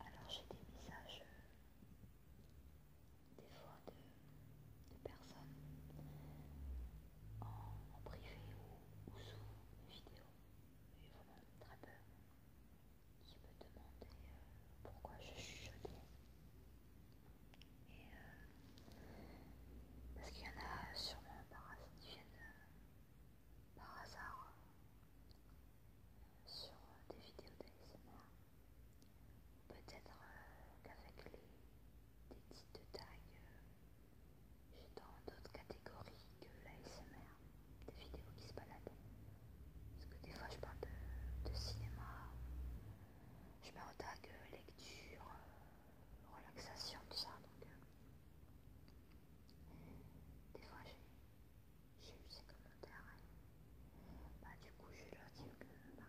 Alors j'ai des messages euh, des fois de, personnes en, privé ou, sous vidéo, mais vraiment très peu, qui me demandaient euh, pourquoi je chuchotais. Et euh, parce qu'il y en a sûrement qui viennent par hasard sur euh, des vidéos d'ASMR. Peut-être euh, qu'avec les, des titres de euh, j'ai dans d'autres catégories que l'ASMR, des vidéos qui se baladent. Parce que des fois je parle de, cinéma, je mets en tag lecture, relaxation, tout ça. Donc, des fois, j'ai eu ces commentaires. Bah, du coup, je leur dis que bah,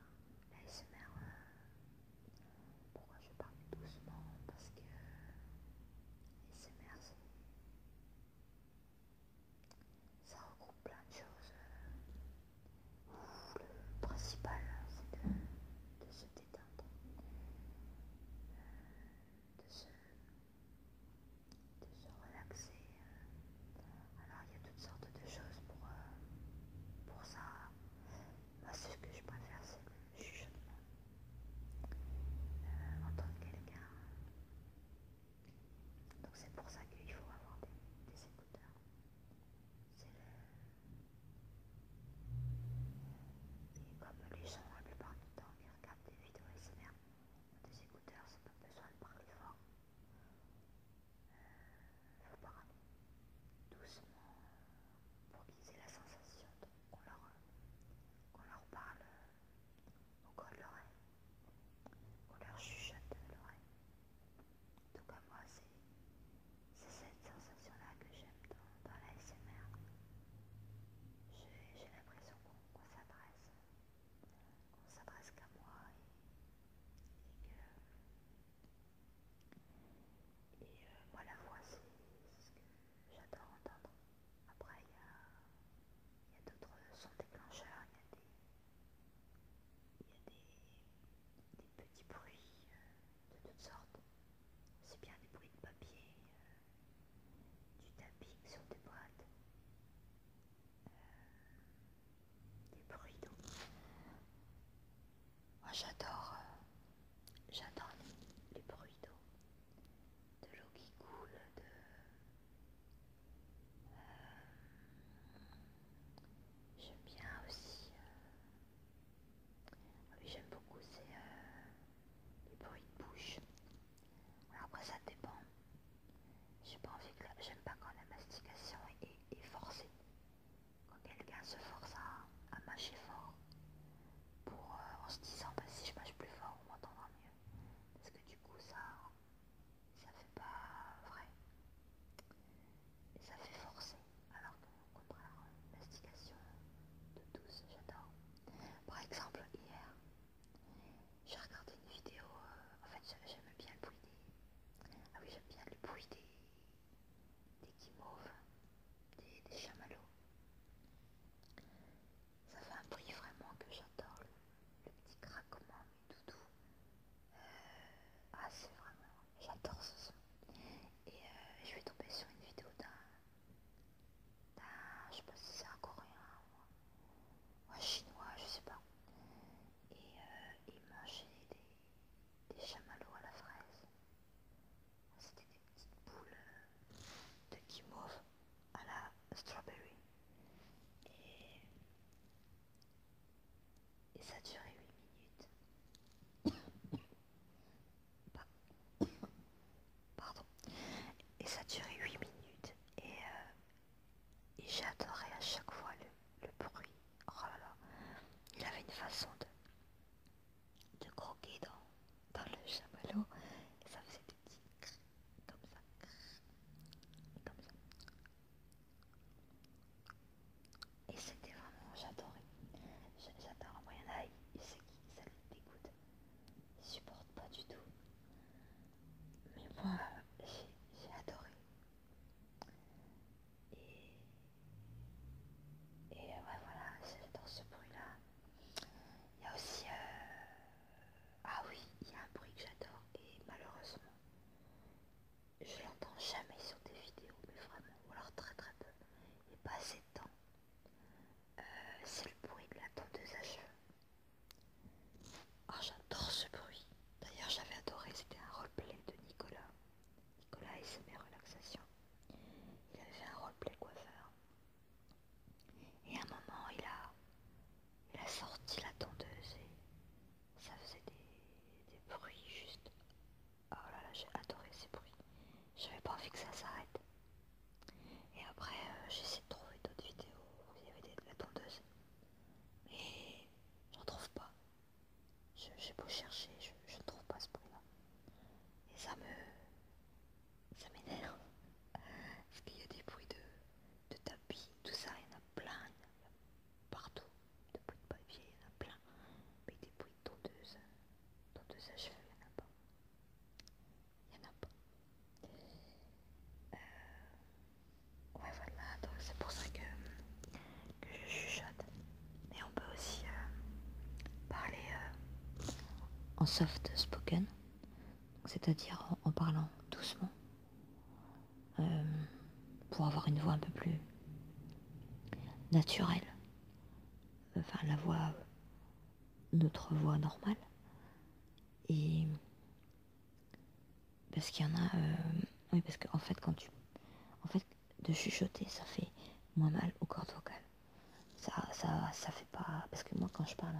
l'ASMR, euh, pourquoi je parle doucement Parce que ils euh, l'ASMR, ça regroupe plein de choses. Euh, le principal, c'est de, se détendre de se, relaxer. Alors il y a toutes sortes de choses pour, euh, pour ça. Moi ce que je préfère c'est le chuchotement. Euh, entendre quelqu'un. Donc c'est pour ça qu'il faut avoir des, des écouteurs. C'est le... Et comme les gens la plupart du temps gens qui regardent des vidéos des écouteurs, c'est pas besoin de parler fort. Il euh, faut parler doucement pour qu'ils aient la sensation qu'on leur, parle au coin de l'oreille, qu'on leur chuchote de l'oreille. En tout cas, moi, c'est cette sensation-là que j'aime tant dans la SMR. J'ai l'impression qu'on s'adresse. Qu'on s'adresse qu'à moi et, que. Euh, moi la voix c'est ce que j'adore entendre. Après il y a, d'autres sons déclencheurs, il y a des. petits bruits. Euh, de toutes sortes. C'est bien des bruits de papier, euh, du tapis sur des boîtes, euh, des bruits d'eau. Moi j'adore euh, j'adore les, bruits d'eau. De l'eau qui coule, de... J'aime bien aussi ah oui, j'aime beaucoup, c'est euh, les bruits de bouche. après, ça dépend. j'aime pas quand la mastication est, forcée. Quand quelqu'un se force à, mâcher fort, pour euh, en se disant bah, si je mâche plus fort, on m'entendra mieux. Parce que du coup, ça, ça fait pas vrai. ça fait forcer. Alors que contraire la mastication de tous, j'adore. Par exemple, hier, j'ai regardé une vidéo, euh, en fait j'aime bien le bruit des... Ah oui, j'aime bien le bruit des... des guimauves, des, chamallows. Ça fait un bruit vraiment que j'adore, le, petit craquement, mais tout euh, ah, c'est vraiment j'adore ce son. Et euh, je suis tombée sur une vidéo d'un... Je sais pas si c'est un coréen ou un chinois, je sais pas. Et euh, il mangeait des, des chamallows à la fraise. C'était des petites boules euh, de guimauve à la strawberry. Et, et ça durait 8 minutes. Et ça durait 8 minutes euh, et, j'adorais à chaque fois le, bruit. Oh là là. Il avait une façon de, de croquer dans, le chamallow et ça faisait des petits cris Comme ça. Et c'était vraiment, j'adorais. J'adore y en a il sait qui ça le dégoûte. Il supporte pas du tout. Mais moi, j'ai adoré. Et, et ouais, voilà, j'adore ce bruit-là. Il y a aussi... Euh, ah oui, il y a un bruit que j'adore et malheureusement, je l'entends jamais sur des vidéos, mais vraiment, ou alors très très peu, et pas assez temps. Euh, c'est le bruit de la tondeuse à cheveux. Oh, j'adore ce bruit. D'ailleurs, j'avais adoré, c'était un replay de Nicolas. Nicolas et ses relaxation. Il avait fait un replay coiffeur. Et à un moment, il a, il a sorti la tondeuse et ça faisait des, des bruits juste Oh là là, j'ai adoré ces bruits. J'avais pas envie que ça s'arrête. Et après, euh, j'ai essayé de trouver d'autres vidéos où il y avait de la tondeuse. Mais j'en trouve pas. J'ai beau chercher, je ne trouve pas ce bruit-là. Et ça me... ça m'énerve. Parce qu'il y a des bruits de, tapis, tout ça, il y en a plein. partout. de bruits de papier, il y en a plein tondeuse, euh, tondeuse à cheveux, il n'y en a pas. Il n'y en a pas. Euh, ouais, voilà, donc c'est pour ça que, que je chuchote. Mais on peut aussi euh, parler en soft spoken, c'est-à-dire en, parlant doucement pour avoir une voix un peu plus naturelle, enfin la voix, notre voix normale. Et parce qu'il y en a, euh, oui, parce qu'en fait, quand tu, en fait, de chuchoter, ça fait moins mal aux cordes vocales. Ça, ça, ça fait pas, parce que moi, quand je parle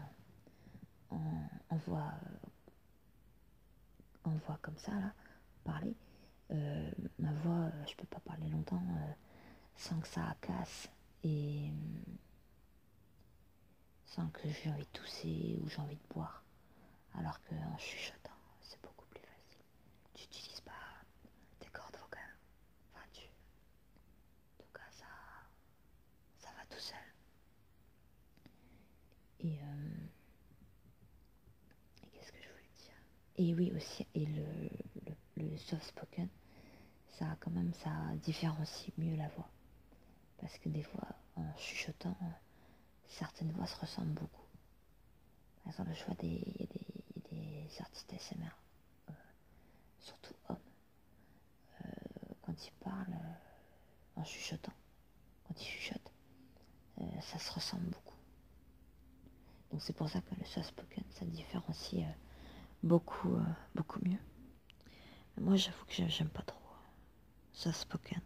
on voit, euh, en voix comme ça, là, parler, euh, ma voix, euh, je peux pas parler longtemps euh, sans que ça casse et sans que j'ai envie de tousser ou j'ai envie de boire. Alors qu'en chuchotant, c'est beaucoup plus facile. Tu n'utilises pas tes cordes vocales. En tout cas, ça, ça va tout seul. Et, Qu'est-ce que je voulais dire Et oui aussi, et le, soft spoken, ça quand même, ça différencie mieux la voix. Parce que des fois, en chuchotant, certaines voix se ressemblent beaucoup. Par exemple, le choix des, artistes SMR, euh, surtout hommes, euh, quand ils parlent euh, en chuchotant, quand chuchote, euh, ça se ressemble beaucoup. Donc c'est pour ça que le soft spoken, ça différencie euh, beaucoup, euh, beaucoup mieux. moi j'avoue que j'aime pas trop ça spoken.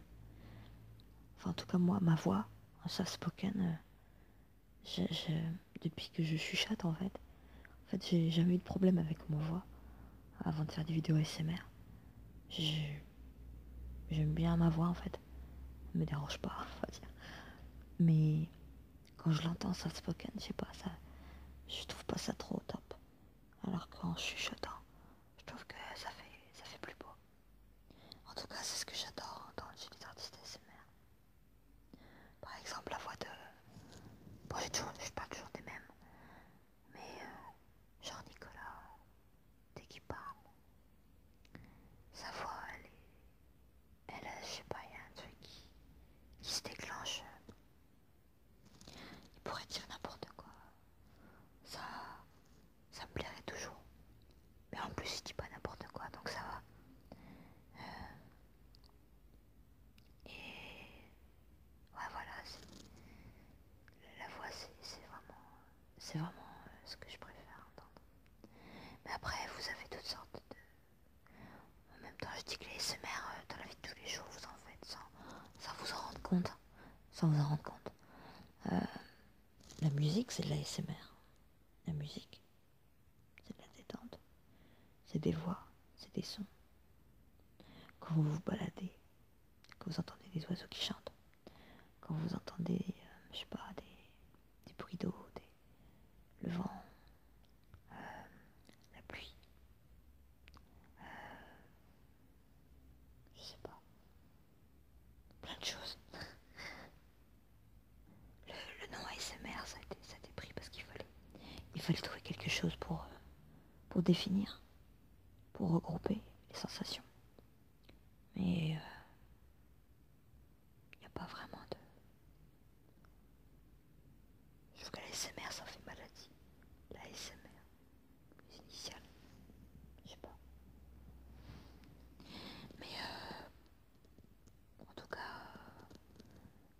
Enfin en tout cas moi, ma voix en soft spoken, depuis que je chuchote en fait, en fait j'ai jamais eu de problème avec ma voix avant de faire des vidéos SMR. J'aime bien ma voix en fait. me dérange pas, Mais quand je l'entends ça spoken, je sais pas, ça. Je trouve pas ça trop top. Alors qu'en chuchotant, je trouve que ça fait ça fait plus beau. En tout cas, c'est ce que j'adore entendre les les artistes SMR. Par exemple, la voix de. Bon, j'ai toujours, pas toujours des mêmes. Mais euh, genre Nicolas, dès qu'il parle. Sa voix, elle est... Elle, je sais pas, il y a un truc qui, se déclenche. Il pourrait dire n'importe quoi. Ça... Ça me plairait toujours. Mais en plus, il dit pas n'importe quoi, donc ça va. Euh, et... Ouais, voilà. La voix, c'est vraiment... C'est vraiment euh, ce que je préfère entendre. Mais après, vous avez toutes sortes de... En même temps, je dis que les SMR, euh, dans la vie de tous les jours, vous en faites sans, vous en rendre compte. Sans vous en rendre compte. Hein. Euh, la musique, c'est de la SMR. La musique, c'est de la détente. C'est des voix, c'est des sons. Quand vous vous baladez, quand vous entendez des oiseaux qui chantent, quand vous entendez, euh, je sais pas, des, bruits d'eau, le vent, euh, la pluie, euh, je sais pas, plein de choses. Le, nom ASMR, ça a été, pris parce qu'il fallait, trouver quelque chose pour, pour définir pour regrouper les sensations. Mais euh, il n'y a pas vraiment de... Je que la ça fait maladie. La SMR, les je sais pas. Mais euh, en tout cas, euh,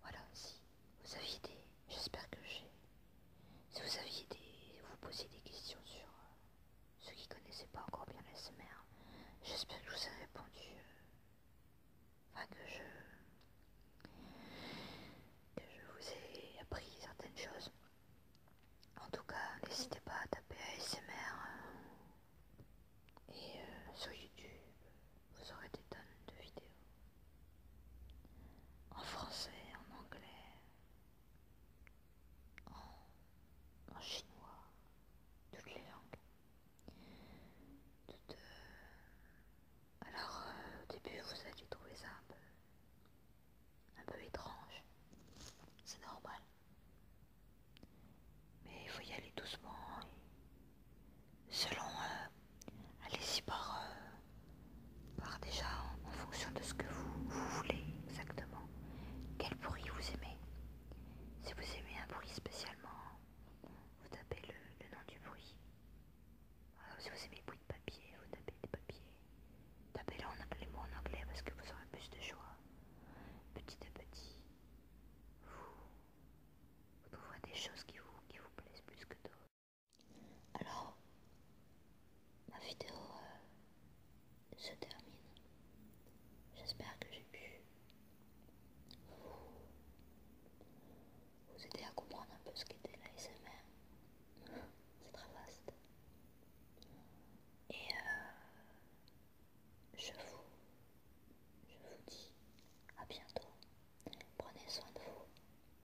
voilà, si vous avez des... J'espère que j'ai si vous aviez des, vous posiez des questions sur euh, ceux qui connaissaient pas encore bien l'ASMR, j'espère que je vous ai répondu. Euh, enfin que je que je vous ai appris certaines choses. En tout cas, n'hésitez pas à taper ASMR euh, et sur YouTube, vous aurez des tonnes de vidéos en français, en anglais, en, chinois, toutes les langues. Euh, alors euh, au début vous allez trouver ça un peu, étrange, c'est normal. Mais il faut y aller doucement. selon, euh, allez-y par, par déjà en, fonction de ce que vous, voulez exactement, quel bruit vous aimez. Si vous aimez un bruit spécialement, vous tapez le, nom du bruit. si vous aimez le bruit de papier, vous tapez des papiers. Tapez là les mots en anglais parce que vous aurez plus de choix. Petit à petit, vous, vous des choses qui vous plaisent plus que d'autres. Alors, ma vidéo euh, se termine. J'espère que j'ai pu vous, aider à comprendre un peu ce qu'était la l'ASMR. C'est très vaste. Et euh, je, vous, je vous dis à bientôt. Prenez soin de vous.